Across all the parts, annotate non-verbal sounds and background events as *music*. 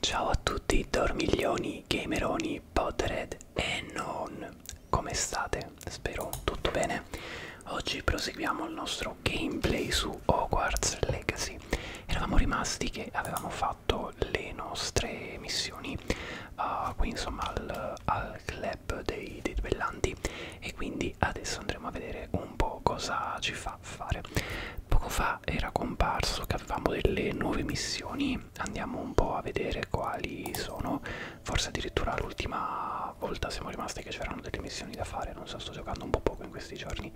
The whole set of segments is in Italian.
Ciao a tutti, dormiglioni, gameroni, pottered e non. Come state? Spero tutto bene. Oggi proseguiamo il nostro gameplay su Hogwarts Legacy. Eravamo rimasti che avevamo fatto le nostre missioni uh, qui insomma al, al club dei, dei duellanti ok e quindi adesso andremo a vedere un po' cosa ci fa fare poco fa era comparso che avevamo delle nuove missioni andiamo un po' a vedere quali sono forse addirittura l'ultima volta siamo rimasti che c'erano delle missioni da fare non so sto giocando un po' poco in questi giorni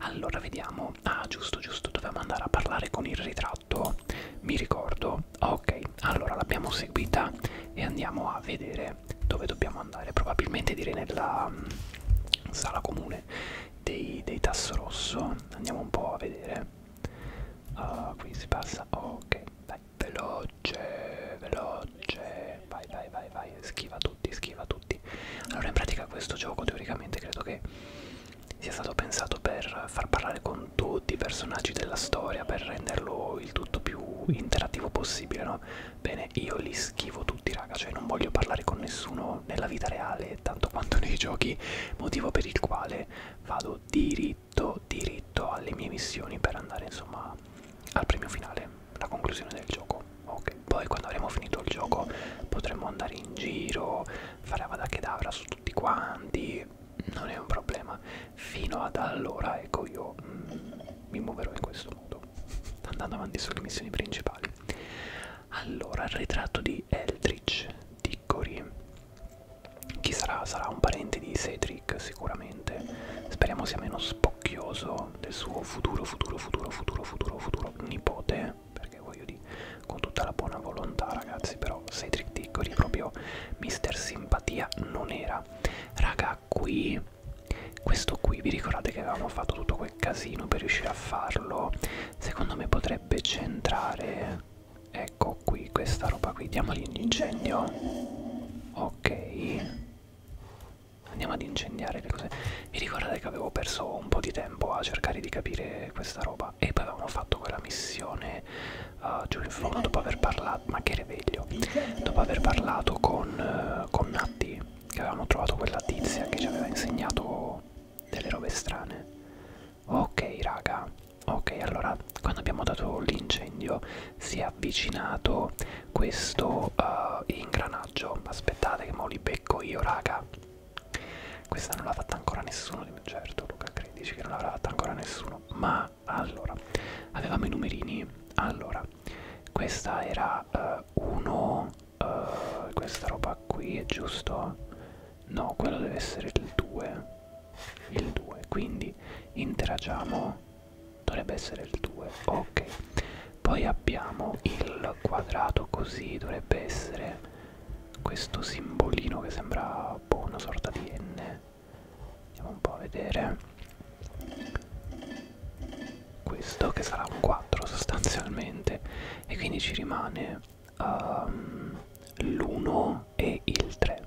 allora vediamo ah giusto giusto dovevamo andare a parlare con il ritratto mi ricordo ok allora l'abbiamo seguita e andiamo a vedere è dove dobbiamo andare, probabilmente direi nella mh, mm, sala comune dei, dei Tasso Rosso, andiamo un po' a vedere, uh, qui si passa, ok, dai, veloce, veloce, vai, vai, vai, vai, schiva tutti, schiva tutti. Allora in pratica questo gioco teoricamente credo che sia stato pensato per far parlare con tutti i personaggi della storia, per renderlo il tutto più interattivo possibile, no? Bene, io li schivo tutti, raga, cioè non voglio parlare con nessuno nella vita reale, tanto quanto *laughs* nei giochi, motivo per il quale vado diritto, diritto alle mie missioni per andare, insomma, al premio finale, la conclusione del gioco. Ok, poi quando avremo finito il gioco potremo andare in giro, fare avadakedavra su tutti quanti, non è un problema. Fino ad allora, ecco, io mm, mi muoverò in questo modo andando avanti sulle missioni principali. Allora, il ritratto di Eldritch Diccori. Chi sarà? Sarà un parente di Cedric sicuramente. Speriamo sia meno spocchioso del suo futuro, futuro, futuro, futuro, futuro, futuro nipote. Perché voglio dire, con tutta la buona volontà ragazzi, però Cedric Diccori proprio mister simpatia non era. Raga, era qui questo qui vi ricordate che avevamo fatto tutto quel casino per riuscire a farlo secondo me potrebbe centrare ecco qui questa roba qui diamogli un incendio ok andiamo ad incendiare le cose vi ricordate che avevo perso un po' di tempo a cercare di capire questa roba e poi avevamo fatto quella missione uh, giù in fondo dopo aver parlato ma che reveglio dopo aver parlato con, uh, con Natti che avevamo trovato quella tizia che ci aveva insegnato delle robe strane ok raga ok allora quando abbiamo dato l'incendio si è avvicinato questo uh, ingranaggio aspettate che me li becco io raga questa non l'ha fatta ancora nessuno di me certo Luca credici che non l'avrà fatta ancora nessuno ma allora avevamo i numerini allora allora questa era 1 uh, eh, uh, eh, questa roba qui è giusto no quello deve essere il 2 il 2 quindi interagiamo dovrebbe essere il 2 ok poi abbiamo il quadrato così dovrebbe essere questo simbolino che sembra boh, una sorta di n andiamo un po' a vedere questo che sarà un 4 sostanzialmente e quindi ci rimane um, ehm, l'1 e il 3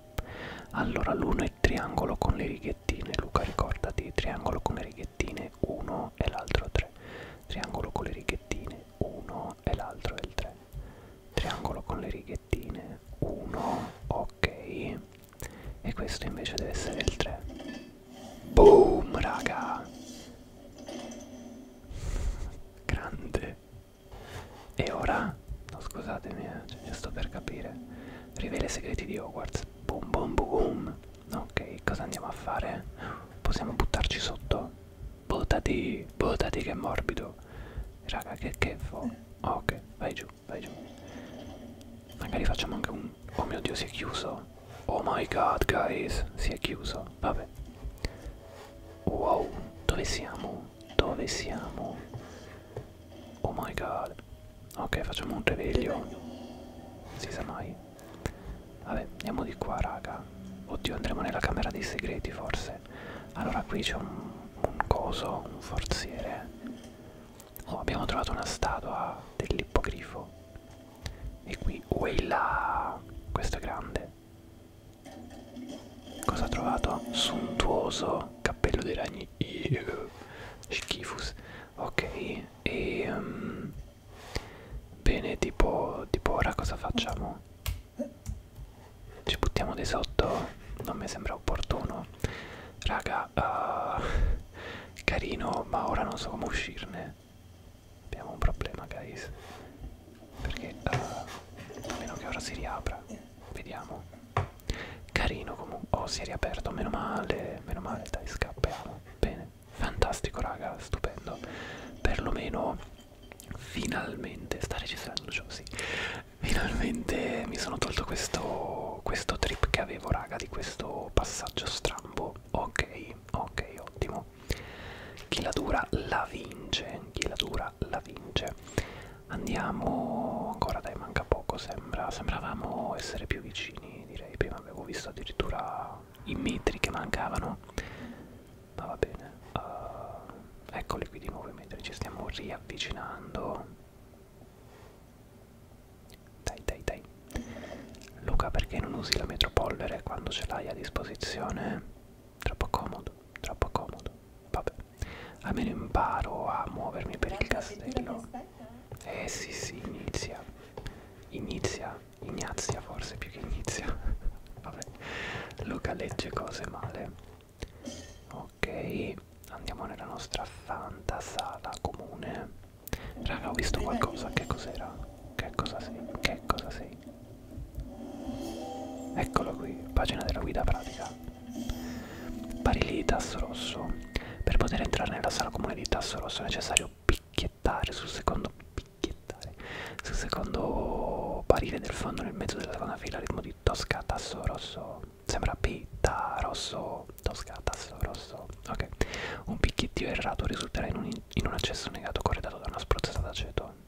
allora l'1 è il triangolo con le righettine Luca ricordati triangolo con le righettine 1 e l'altro 3 triangolo con le righettine 1 e l'altro è il 3 triangolo con le righettine 1 ok e questo invece deve essere il 3 boom raga grande e ora no scusatemi eh, cioè, sto per capire rivela i segreti di Hogwarts boom boom boom ok cosa andiamo a fare possiamo buttarci sotto buttati buttati che morbido raga che che fo ok vai giù vai giù magari facciamo anche un oh mio dio si è chiuso oh my god guys si è chiuso vabbè wow dove siamo dove siamo oh my god ok facciamo un reveglio si sa mai vabbè andiamo di qua raga oddio andremo nella camera dei segreti forse allora qui c'è un, un coso un forziere Oh, abbiamo trovato una statua dell'ippogrifo. E qui, uella! Questo è grande. Cosa ha trovato? Suntuoso cappello dei ragni. Eww. Schifus. Ok, e... Um, bene, tipo, tipo ora cosa facciamo? Ci buttiamo di sotto? Non mi sembra opportuno no raga uh, carino ma ora non so come uscirne abbiamo un problema guys perché uh, a meno che ora si riapra vediamo carino comunque oh si è riaperto meno male meno male dai scappiamo bene fantastico raga stupendo perlomeno finalmente sta registrando ciò sì finalmente mi sono tolto questo questo trip che avevo raga di questo passaggio strambo ok ok ottimo chi la dura la vince chi la dura la vince andiamo ancora dai manca poco sembra sembravamo essere più vicini direi prima avevo visto addirittura i metri che mancavano ma va bene uh, eccoli qui di nuovo i metri ci stiamo riavvicinando dai, dai, dai. Luca, perché non usi la metropollere quando ce l'hai a disposizione? Troppo comodo, troppo comodo. Vabbè, almeno imparo a muovermi per il castello. Eh? eh sì, sì, inizia. Inizia, Ignazia forse più che inizia. *laughs* Vabbè, Luca legge cose male. Ok, andiamo nella nostra fantasala comune. Raga, ho visto qualcosa, che cos'era? Che cosa sei? Che cosa sei? Eccolo qui, pagina della guida pratica. Barili tasso rosso. Per poter entrare nella sala comune di tasso rosso è necessario picchiettare sul secondo picchiettare sul secondo barile del fondo nel mezzo della seconda fila ritmo di Tosca tasso rosso. Sembra P, ta rosso Toscata, Sasso Grosso. Ok. Un picchiettio errato risulterà in un, in un accesso negato corredato da una spruzzata d'aceto.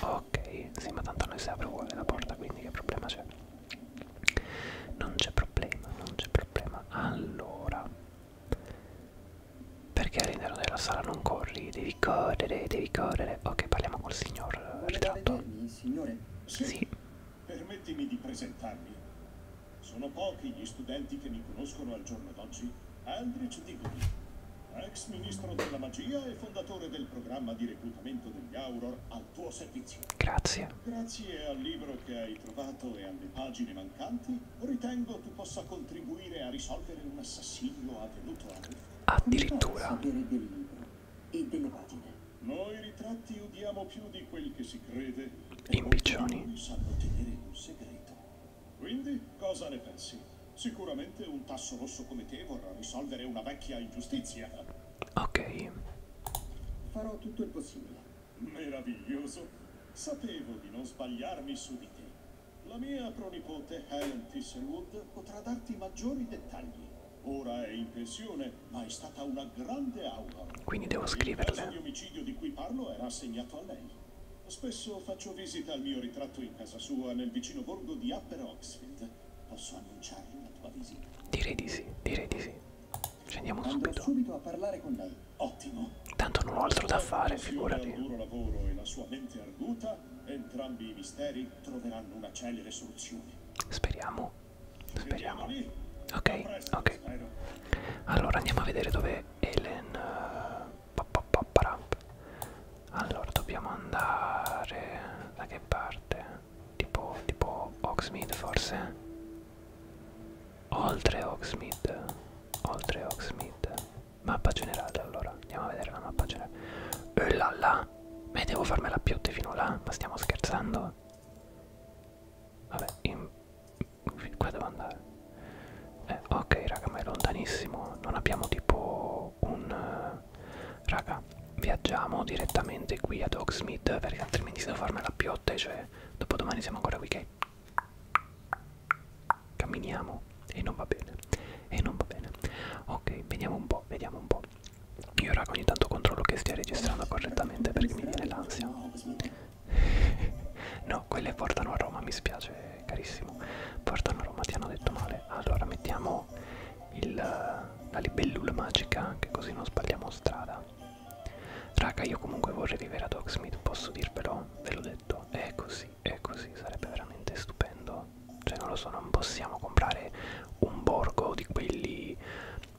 Ok, sì, ma tanto noi si apre uguale la porta, quindi che problema c'è? Non c'è problema, non c'è problema. Allora, perché all'interno della sala non corri? Devi correre, devi correre. Ok, parliamo col signor ritratto. Signore? Sì. sì. Permettimi di presentarmi. Sono pochi gli studenti che mi conoscono al giorno d'oggi. Aldrich Diggory, ex ministro della magia e fondatore del programma di reclutamento degli Auror al tuo servizio. Grazie. Grazie al libro che hai trovato e alle pagine mancanti, ritengo tu possa contribuire a risolvere un assassino avvenuto a Rufus. Addirittura. sapere del libro e delle pagine. Noi ritratti udiamo più di quel che si crede impiccioni. Quindi cosa ne pensi? Sicuramente un tasso rosso come te vorrà risolvere una vecchia ingiustizia. Ok. Farò tutto il possibile. Meraviglioso. Sapevo di non sbagliarmi su di te. La mia pronipote Helen Fisherwood potrà darti maggiori dettagli. Ora è in pensione ma è stata una grande aula. Quindi devo scriverle. Il caso di omicidio di cui parlo era assegnato a lei. Spesso faccio visita al mio ritratto in casa sua nel vicino borgo di Upper Oxfield. Posso annunciarle la tua visita? Direi di sì, direi di sì. Scendiamo Andrò subito. subito a parlare con lei. Ottimo. Tanto non ho altro da fare, figurati. Il duro lavoro e la sua mente arguta, entrambi i misteri troveranno una celere soluzione. Speriamo. Speriamo. Ok, ok. Allora andiamo a vedere dove è Elen. Eh, allora dobbiamo andare da che parte? Tipo, tipo Oxmid forse? Oltre Oxmid. Oltre Oxmid. Mappa generale allora. Andiamo a vedere la mappa generale. E eh, là là. Ma devo farmela più fino là? Ma stiamo scherzando? Vabbè, in Qua devo andare. Eh, ok, raga, ma è lontanissimo. Non abbiamo tipo un... Eh, raga, viaggiamo direttamente qui ad Hogsmeade perché altrimenti devo farmi la piotta, cioè dopodomani siamo ancora qui che... Camminiamo e non va bene. E non va bene. Ok, vediamo un po', vediamo un po'. Io raga ogni tanto controllo che stia registrando correttamente perché mi viene l'ansia. *laughs* no, quelle portano a Roma, mi spiace carissimo. Portano a Roma, ti hanno detto male. Allora mettiamo il, la libellula magica, che così non sbagliamo strada. Raga, io comunque vorrei vivere a Docksmith, posso dirvelo? Ve l'ho detto, è così, è così, sarebbe veramente stupendo. Cioè non lo so, non possiamo comprare un borgo di quelli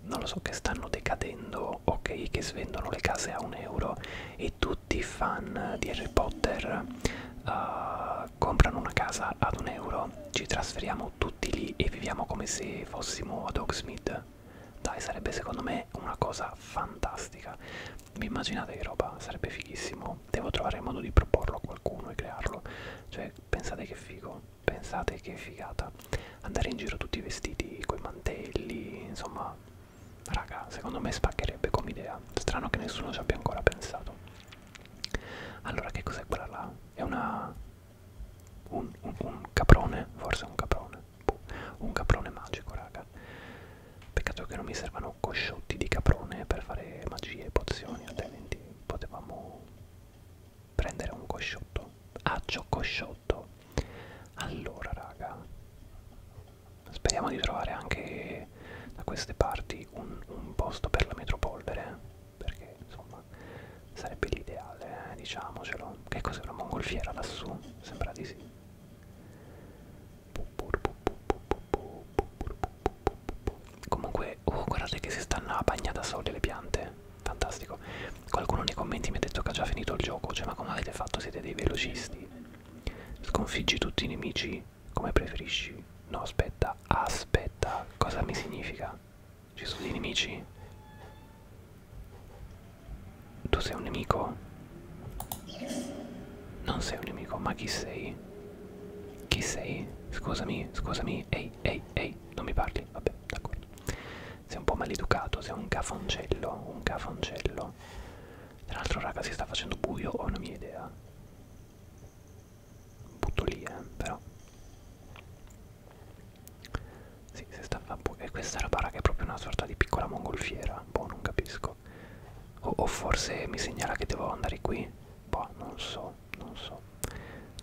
non lo so che stanno decadendo o okay, che svendono le case a un euro e tutti i fan di Harry Potter uh, comprano una casa ad un euro ci trasferiamo tutti lì e viviamo come se fossimo ad Oxmith dai sarebbe secondo me una cosa fantastica vi immaginate che roba sarebbe fighissimo devo trovare il modo di proporlo a qualcuno e crearlo cioè pensate che figo pensate che figata andare in giro tutti vestiti coi mantelli, insomma, raga, secondo me spaccherebbe come idea. Strano che nessuno ci abbia ancora pensato. Allora, che cos'è quella là? È una... un, un, un caprone? Forse un caprone. Boh. Un caprone magico, raga. Peccato che non mi servano cosciotti di caprone per fare magie e pozioni, altrimenti potevamo prendere un cosciotto. Ah, cosciotto 8 allora raga speriamo di trovare anche da queste parti un, un posto per la metropolvere perché insomma sarebbe l'ideale eh, diciamocelo che cos'è una mongolfiera lassù sembra di sì comunque oh guardate che si stanno a bagna da sole le piante fantastico. Qualcuno nei commenti mi ha detto che ha già finito il gioco, cioè ma come avete fatto? Siete dei velocisti. Sconfiggi tutti i nemici come preferisci. No, aspetta, aspetta, cosa mi significa? Ci sono dei nemici? Tu sei un nemico? Non sei un nemico, ma chi sei? Chi sei? Scusami, scusami, ehi, ehi, ehi, non mi parli, vabbè, d'accordo sei un po' maleducato, sei un cafoncello, un cafoncello. Tra l'altro raga si sta facendo buio, ho una mia idea. Butto lì, eh, però. Sì, si sta a buio. E questa roba raga è proprio una sorta di piccola mongolfiera, boh, non capisco. O, o forse mi segnala che devo andare qui? Boh, non so, non so.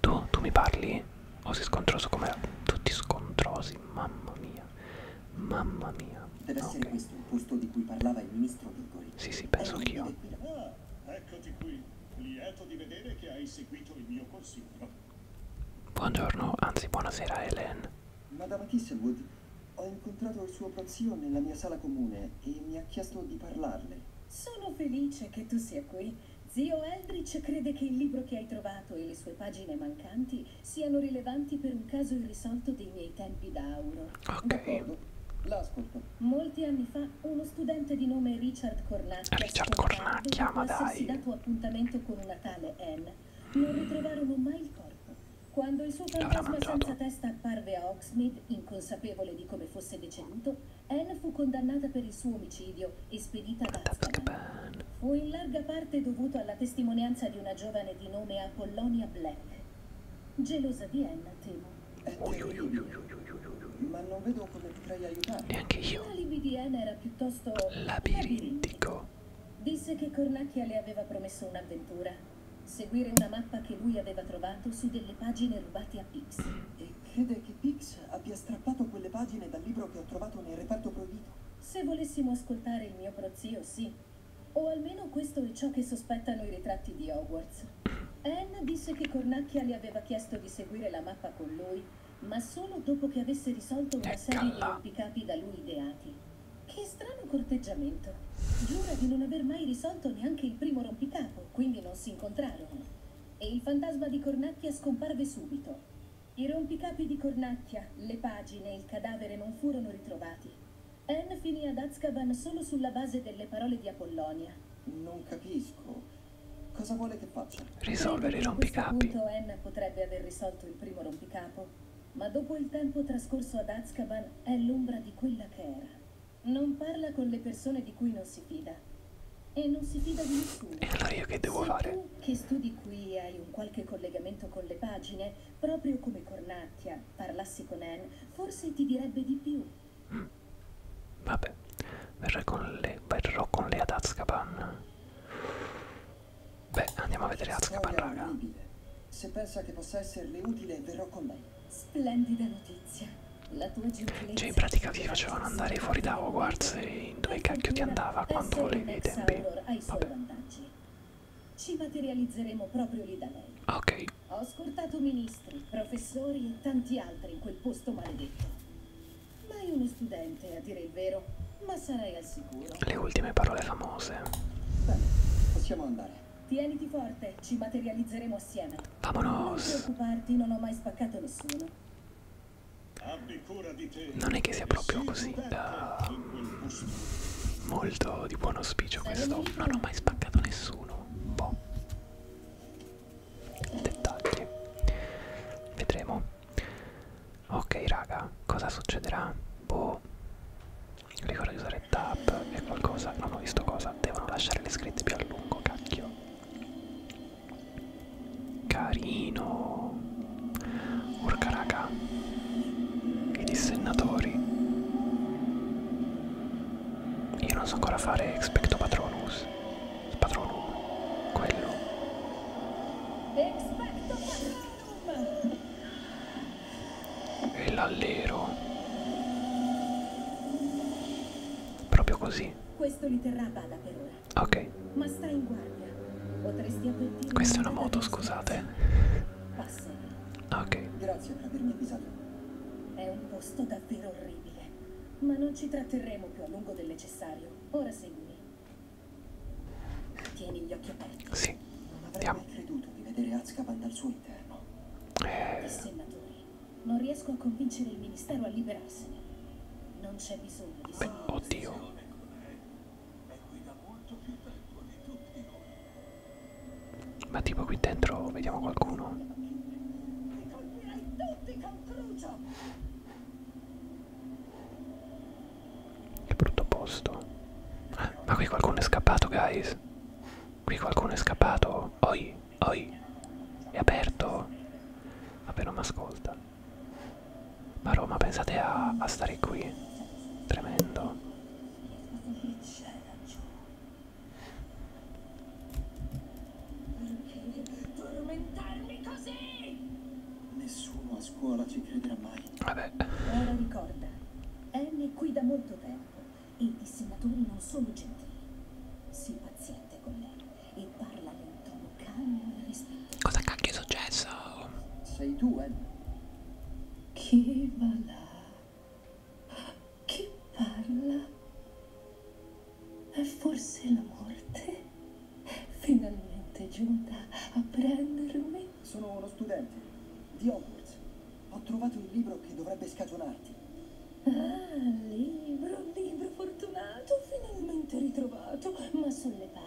Tu, tu mi parli? O sei scontroso come... Tutti scontrosi, mamma mia mia, mamma mia. Deve ah, essere okay. questo il posto di cui parlava il ministro Vigori. Sì, sì, penso anch'io. Ah, eccoti qui. Lieto di vedere che hai seguito il mio consiglio. Buongiorno, anzi buonasera Helen. Madame Kisselwood, ho incontrato il suo prozio nella mia sala comune e mi ha chiesto di parlarle. Sono felice che tu sia qui. Zio Eldritch crede che il libro che hai trovato e le sue pagine mancanti siano rilevanti per un caso irrisolto dei miei tempi da auro. Ok. L'ascolto. Molti anni fa uno studente di nome Richard Cornacchia Richard Cornacchia, ma dai. dato appuntamento con una tale Anne. Non ritrovarono mai il corpo. Quando il suo fantasma senza testa apparve a Oxmead, inconsapevole di come fosse deceduto, Anne fu condannata per il suo omicidio e spedita ad Azkaban fu in larga parte dovuto alla testimonianza di una giovane di nome Apollonia Black. Gelosa di Anna, temo. È eh, ma non vedo come potrei aiutare. Neanche io. L'alibi di Anna era piuttosto labirintico. Disse che Cornacchia le aveva promesso un'avventura. Seguire una mappa che lui aveva trovato su delle pagine rubate a Pix. E crede che Pix abbia strappato quelle pagine dal libro che ho trovato nel reparto proibito. Se volessimo ascoltare il mio prozio, sì. O almeno questo è ciò che sospettano i ritratti di Hogwarts. Anne disse che Cornacchia le aveva chiesto di seguire la mappa con lui, ma solo dopo che avesse risolto una serie di rompicapi da lui ideati. Che strano corteggiamento. Giura di non aver mai risolto neanche il primo rompicapo, quindi non si incontrarono. E il fantasma di Cornacchia scomparve subito, i rompicapi di Cornacchia, le pagine e il cadavere non furono ritrovati. Anne finì ad Azkaban solo sulla base delle parole di Apollonia. Non capisco. Cosa vuole che faccia? Risolvere i rompicapi. A questo punto Anne potrebbe aver risolto il primo rompicapo, ma dopo il tempo trascorso ad Azkaban è l'ombra di quella che era. Non parla con le persone di cui non si fida. E non si fida di nessuno. E allora io che devo Sei fare? Tu che studi di cui hai un qualche collegamento con le pagine, proprio come Cornacchia, parlassi con Anne, forse ti direbbe di più. Mm. Vabbè, verrò con le, verrò con le ad Azkaban. Beh, andiamo a vedere Azkaban, raga. Orribile. Se pensa che possa esserle utile, verrò con lei. Splendida notizia. La tua gentilezza... Cioè, in pratica vi facevano andare fuori da Hogwarts e poi dove cacchio ti andava quando volevi i tempi? Vabbè. Ci materializzeremo proprio lì da lei. Ok. Ho scortato ministri, professori e tanti altri in quel posto maledetto. Mai uno studente, a dire il vero, ma sarai al sicuro. Le ultime parole famose. Bene, possiamo andare. Tieniti forte, ci materializzeremo assieme. Vamonos. Non preoccuparti, non ho mai spaccato nessuno non è che sia proprio così uh, molto di buon auspicio questo non ho mai spaccato nessuno boh dettagli vedremo ok raga cosa succederà boh ricordo di usare tab e qualcosa non ho visto cosa devono lasciare le scritte più a lungo cacchio Carino. Urca raga. I dissennatori. Io non so ancora fare expecto patronus. Patronum. Quello. Expecto patronum. E l'allero. Proprio così. Questo li terrà bada per ora. Ok. Ma stai in guardia. Potresti avvertire. Questa è una moto, scusate. Passa. Ok. Grazie per avermi avvisato. È un posto davvero orribile. Ma non ci tratterremo più a lungo del necessario. Ora seguimi. Tieni gli occhi aperti. Sì. Non avrei Andiamo. mai creduto di vedere Azkaban dal suo interno. Eh. Senatori, non riesco a convincere il ministero a liberarsene. Non c'è bisogno di Beh, Oddio. Ma tipo qui dentro vediamo qualcuno. Che brutto posto. Ah, ma qui qualcuno è scappato, guys. Qui qualcuno è scappato. Oi, oi. È aperto. Vabbè, non mi ascolta. Ma Roma, pensate a, a stare qui. Tremendo. Perché devi tormentarmi così? Nessuno a scuola ci crederà mai. Vabbè. Ora ricorda, Annie è qui da molto tempo e i dissenatori non sono gentili. Sii paziente con lei e parla in tono Cosa cacchio è successo? Sei tu, eh? Chi va là? Chi parla? È forse la morte? Finalmente è giunta a prendermi? Sono uno studente di Hogwarts. Ho trovato il libro che dovrebbe scagionarti. Ah, libro, libro fortunato, finalmente ritrovato, ma sollevato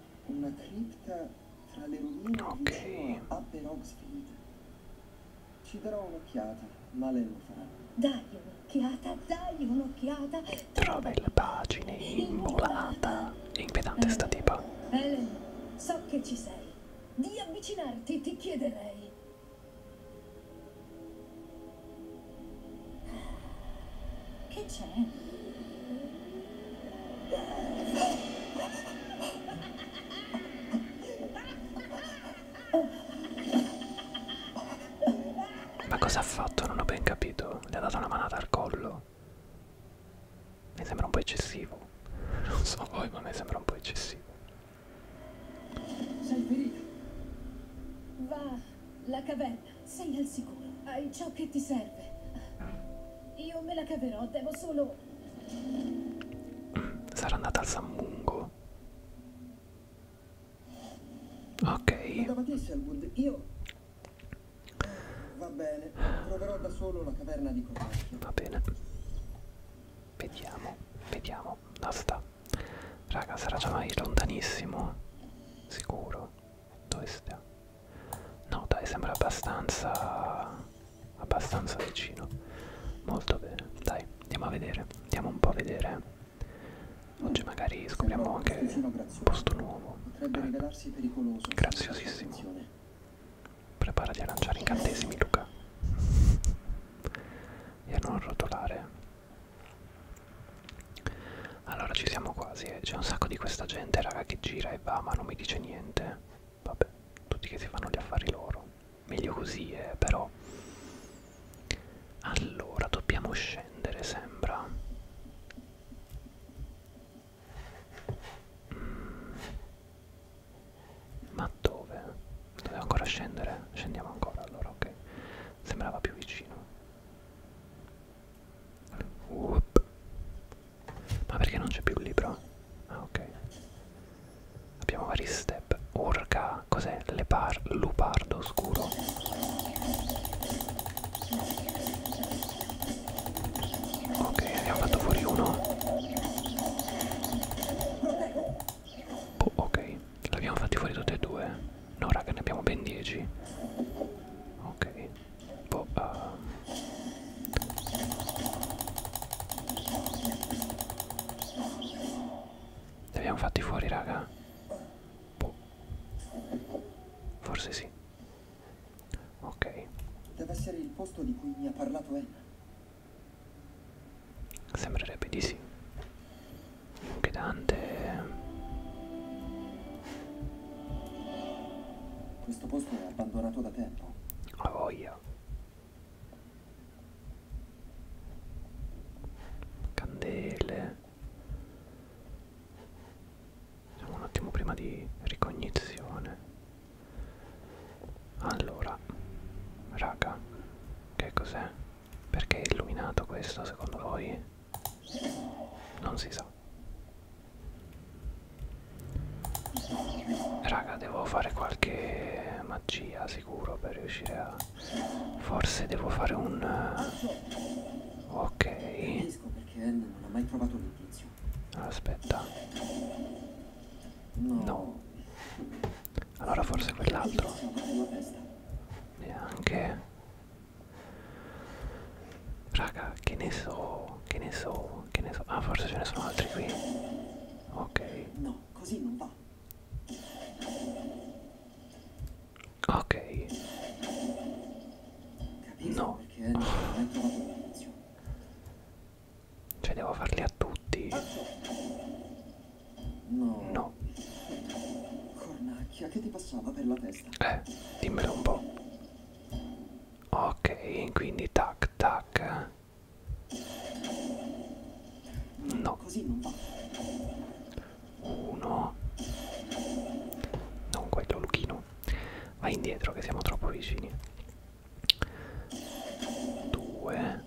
Una cripta tra le rovine okay. a Upper Oxfield. Ci darò un'occhiata, ma lei lo farà. Dai un'occhiata, dai un'occhiata. Tra belle pagine, immolata. Impedante eh, sta tipa. Ellen, so che ci sei. Di avvicinarti ti chiederei. Che c'è? Ma cosa ha fatto? Non ho ben capito. Le ha dato una manata al collo. Mi sembra un po' eccessivo. *laughs* Non so voi, ma mi sembra un po' eccessivo. Sei ferito. Va, la caverna sei al sicuro. Hai ciò che ti serve. Io me la caverò, devo solo... Sarà andata al Sammungo. Ok. Davanti a Selwood, io... Va bene, troverò da solo la caverna di Cornacchio. Va bene. Vediamo, vediamo. No, sta. Raga, sarà già mai lontanissimo. Sicuro. Dove sta? No dai, sembra abbastanza... abbastanza vicino. Molto bene. Dai, andiamo a vedere. Andiamo un po' a vedere. Oggi magari scopriamo anche un posto nuovo. Potrebbe rivelarsi pericoloso. Graziosissimo. Preparati a lanciare incantesimi, Luca. *laughs* E a non rotolare. Allora ci siamo quasi, eh. c'è un sacco di questa gente raga che gira e va ma non mi dice niente. Vabbè, tutti che si fanno gli affari loro. Meglio così, eh, però. Allora, dobbiamo scendere, sembra. Mm. Ma dove? Dobbiamo ancora scendere? Scendiamo ancora allora, ok. Sembrava più vicino. Whoop. Ma perché non c'è più il libro? Ah ok. Abbiamo vari step. Urca, cos'è? Lepar, lupardo scuro. Ok, abbiamo fatto fuori uno. Oh, ok, l'abbiamo fatti fuori tutti e due. No raga, ne abbiamo ben 10. Ok un po' a li abbiamo fatti fuori raga boh. forse sì ok deve essere il posto di cui mi ha parlato Anna sembrerebbe di sì anche Dante questo posto è abbandonato da tempo. A voglia. Candele. Siamo un attimo prima di ricognizione. Allora, raga, che cos'è? Perché è illuminato questo secondo voi? non si sa raga devo fare qualche magia sicuro per riuscire a forse devo fare un eh, ok non ho mai provato l'inizio aspetta no allora forse quell'altro neanche Raga, che ne so, che ne so, che ne so. Ah, forse ce ne sono altri qui. Ok. No, così non va. Ok. No. Cioè devo farli a tutti. No. Cornacchia, che ti passava per la testa? questa. Eh, dimmelo un po'. Ok, quindi tac tac. No. Così non va. Uno. Non quello, Luchino. Vai indietro che siamo troppo vicini. Due.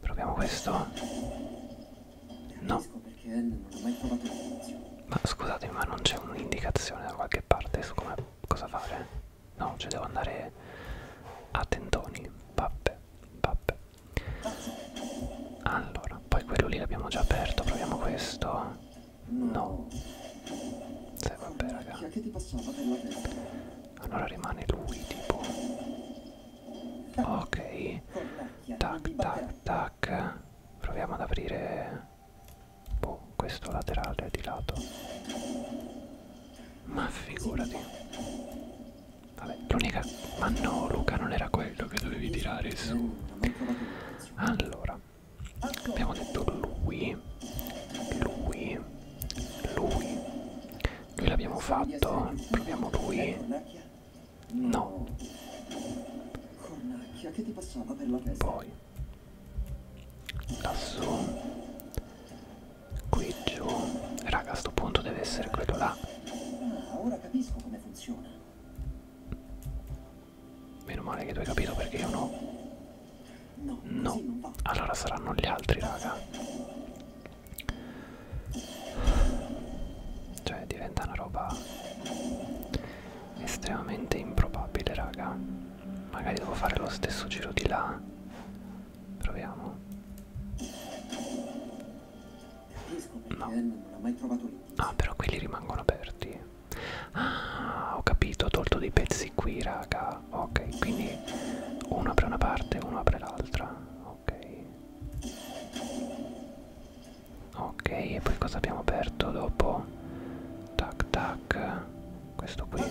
Proviamo questo. No. Perché N non ha mai trovato il tizio. Ma scusatemi, ma non c'è un'indicazione da qualche parte su come cosa fare? No, cioè devo andare a tentoni. Vabbè, vabbè. Allora, poi quello lì l'abbiamo già aperto, proviamo questo. No. Sai vabbè raga. Allora rimane lui tipo. Ok. Tac tac tac. Proviamo ad aprire Boh, questo laterale è di lato. Ma figurati. Vabbè, l'unica... Ma no, Luca, non era quello che dovevi tirare su. Allora, abbiamo detto lui, lui, lui. Lui l'abbiamo fatto, proviamo lui. No. Cornacchia, che ti passava per la testa? Poi. Lassù. Qui giù. Raga, a sto punto deve essere quello là. Ah, ora capisco come funziona. Meno male che tu hai capito perché io no. No. no. Allora saranno gli altri, raga. Cioè, diventa una roba estremamente improbabile raga magari devo fare lo stesso giro di là proviamo no ah però quelli rimangono aperti ah ho capito ho tolto dei pezzi qui raga ok quindi uno apre una parte uno apre l'altra ok ok e poi cosa abbiamo aperto dopo tac tac questo qui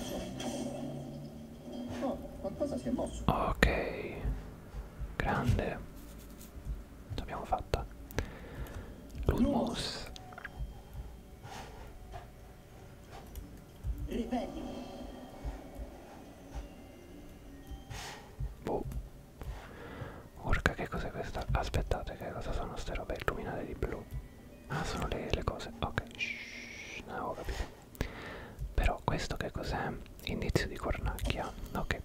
oh, ok grande l'abbiamo fatta l'ulmus Ribelli. Boh, Urca che cos'è questa? Aspettate che cosa sono ste robe illuminate di blu? Ah sono le, le cose, ok Shhh, non avevo capito Però questo che cos'è? Indizio di cornacchia, ok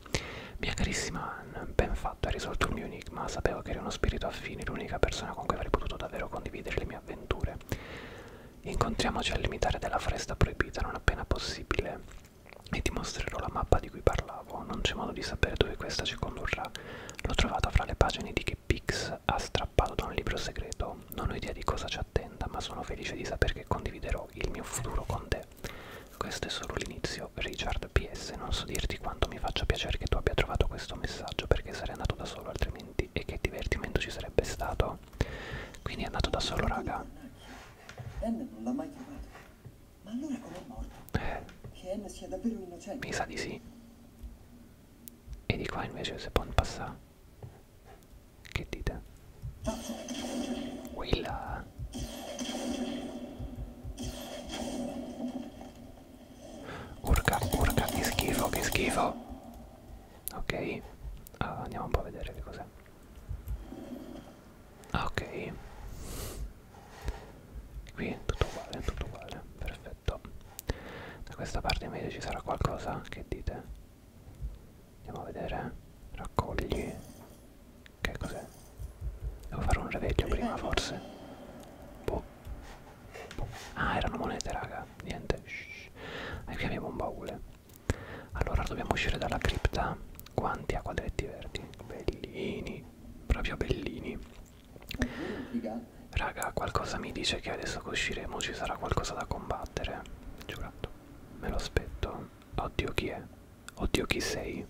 Mia carissima Anne, ben fatto, hai risolto il mio enigma Sapevo che eri uno spirito affine, l'unica persona con cui avrei potuto davvero condividere le mie avventure Incontriamoci al limitare della foresta proibita non appena possibile e ti mostrerò la mappa di cui parlavo trovavo, non c'è modo di sapere dove questa ci condurrà. L'ho trovata fra le pagine di che Pix ha strappato da un libro segreto. Non ho idea di cosa ci attenda, ma sono felice di sapere che condividerò il mio futuro con te. Questo è solo l'inizio, Richard PS. Non so dirti quanto mi faccia piacere che tu abbia trovato questo messaggio perché sarei andato da solo altrimenti e che divertimento ci sarebbe stato. Quindi è andato da solo, raga. Ma allora com'è morto? Eh. Che M sia davvero innocente? Mi sa di sì. E di qua invece se può passare. Che dite? Quella. Urca, urca, che schifo, che schifo. Ok, uh, andiamo un po' a vedere che cos'è. Ah, ok. Qui è tutto uguale, tutto uguale, perfetto. Da questa parte invece ci sarà qualcosa, che dite? Andiamo a vedere. Raccogli. Che cos'è? Devo fare un reveglio prima forse. Boh. boh. Ah, erano monete, raga. Niente. Shh. E qui abbiamo un baule. Allora dobbiamo uscire dalla cripta. Quanti acqua diretti verdi? Bellini proprio bellini raga qualcosa mi dice che adesso che usciremo ci sarà qualcosa da combattere giurato me lo aspetto oddio chi è oddio chi sei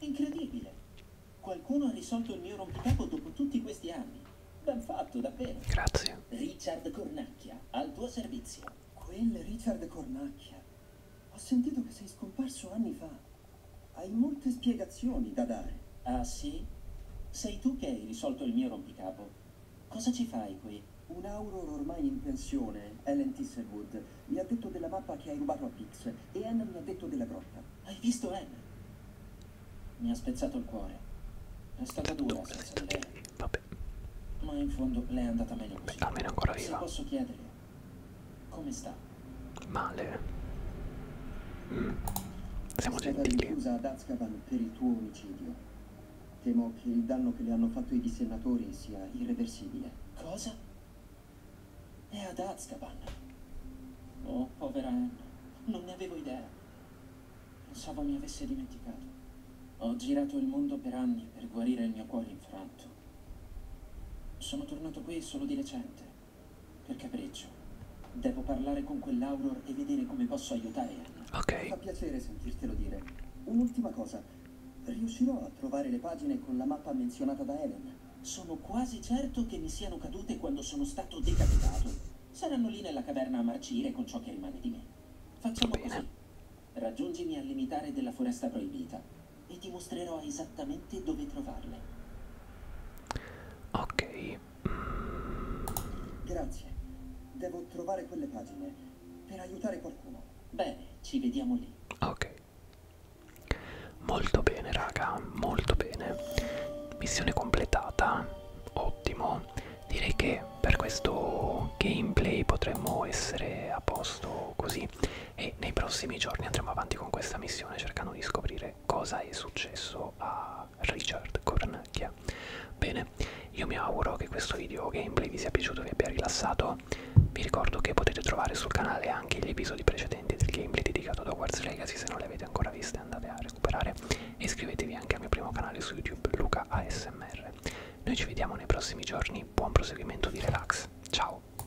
incredibile qualcuno ha risolto il mio rompicapo dopo tutti questi anni ben fatto davvero grazie Richard Cornacchia al tuo servizio quel Richard Cornacchia ho sentito che sei scomparso anni fa hai molte spiegazioni da dare. Ah sì? Sei tu che hai risolto il mio rompicapo. Cosa ci fai qui? Un auror ormai in pensione, Ellen Tisselwood, mi ha detto della mappa che hai rubato a Pix e Anne mi ha detto della grotta. Hai visto Anne? Mi ha spezzato il cuore. È stata dura senza di lei. Vabbè. Ma in fondo lei è andata meglio così. Almeno ancora viva. Se posso chiedere, come sta? Male. Mm. Siamo gentili. Scusa ad Azkaban per il tuo omicidio. Temo che il danno che le hanno fatto i dissennatori sia irreversibile. Cosa? È ad Azkaban. Oh, povera Anne. Non ne avevo idea. Pensavo mi avesse dimenticato. Ho girato il mondo per anni per guarire il mio cuore infranto stato. Sono tornato qui solo di recente, per capriccio. Devo parlare con quell'Auror e vedere come posso aiutare Anna. Ok. Fa piacere sentirtelo dire. Un'ultima cosa. Riuscirò a trovare le pagine con la mappa menzionata da Helen? Sono quasi certo che mi siano cadute quando sono stato decapitato. Saranno lì nella caverna a marcire con ciò che rimane di me. Facciamo Bene. così. Raggiungimi al limitare della foresta proibita e ti mostrerò esattamente dove trovarle. Ok. Mm. Grazie. Devo trovare quelle pagine per aiutare qualcuno. Bene, ci vediamo lì. Ok. Molto bene, raga, molto bene. Missione completata. Ottimo. Direi che per questo gameplay potremmo essere a posto così giorni e nei prossimi giorni andremo avanti con questa missione cercando di scoprire cosa è successo a Richard Cornacchia. Bene, io mi auguro che questo video gameplay vi sia piaciuto e vi abbia rilassato. Vi ricordo che potete trovare sul canale anche gli episodi precedenti del gameplay dedicato ad Hogwarts Legacy, se non li avete ancora viste andate a recuperare e iscrivetevi anche al mio primo canale su YouTube, Luca ASMR. Noi ci vediamo nei prossimi giorni, buon proseguimento di relax, ciao!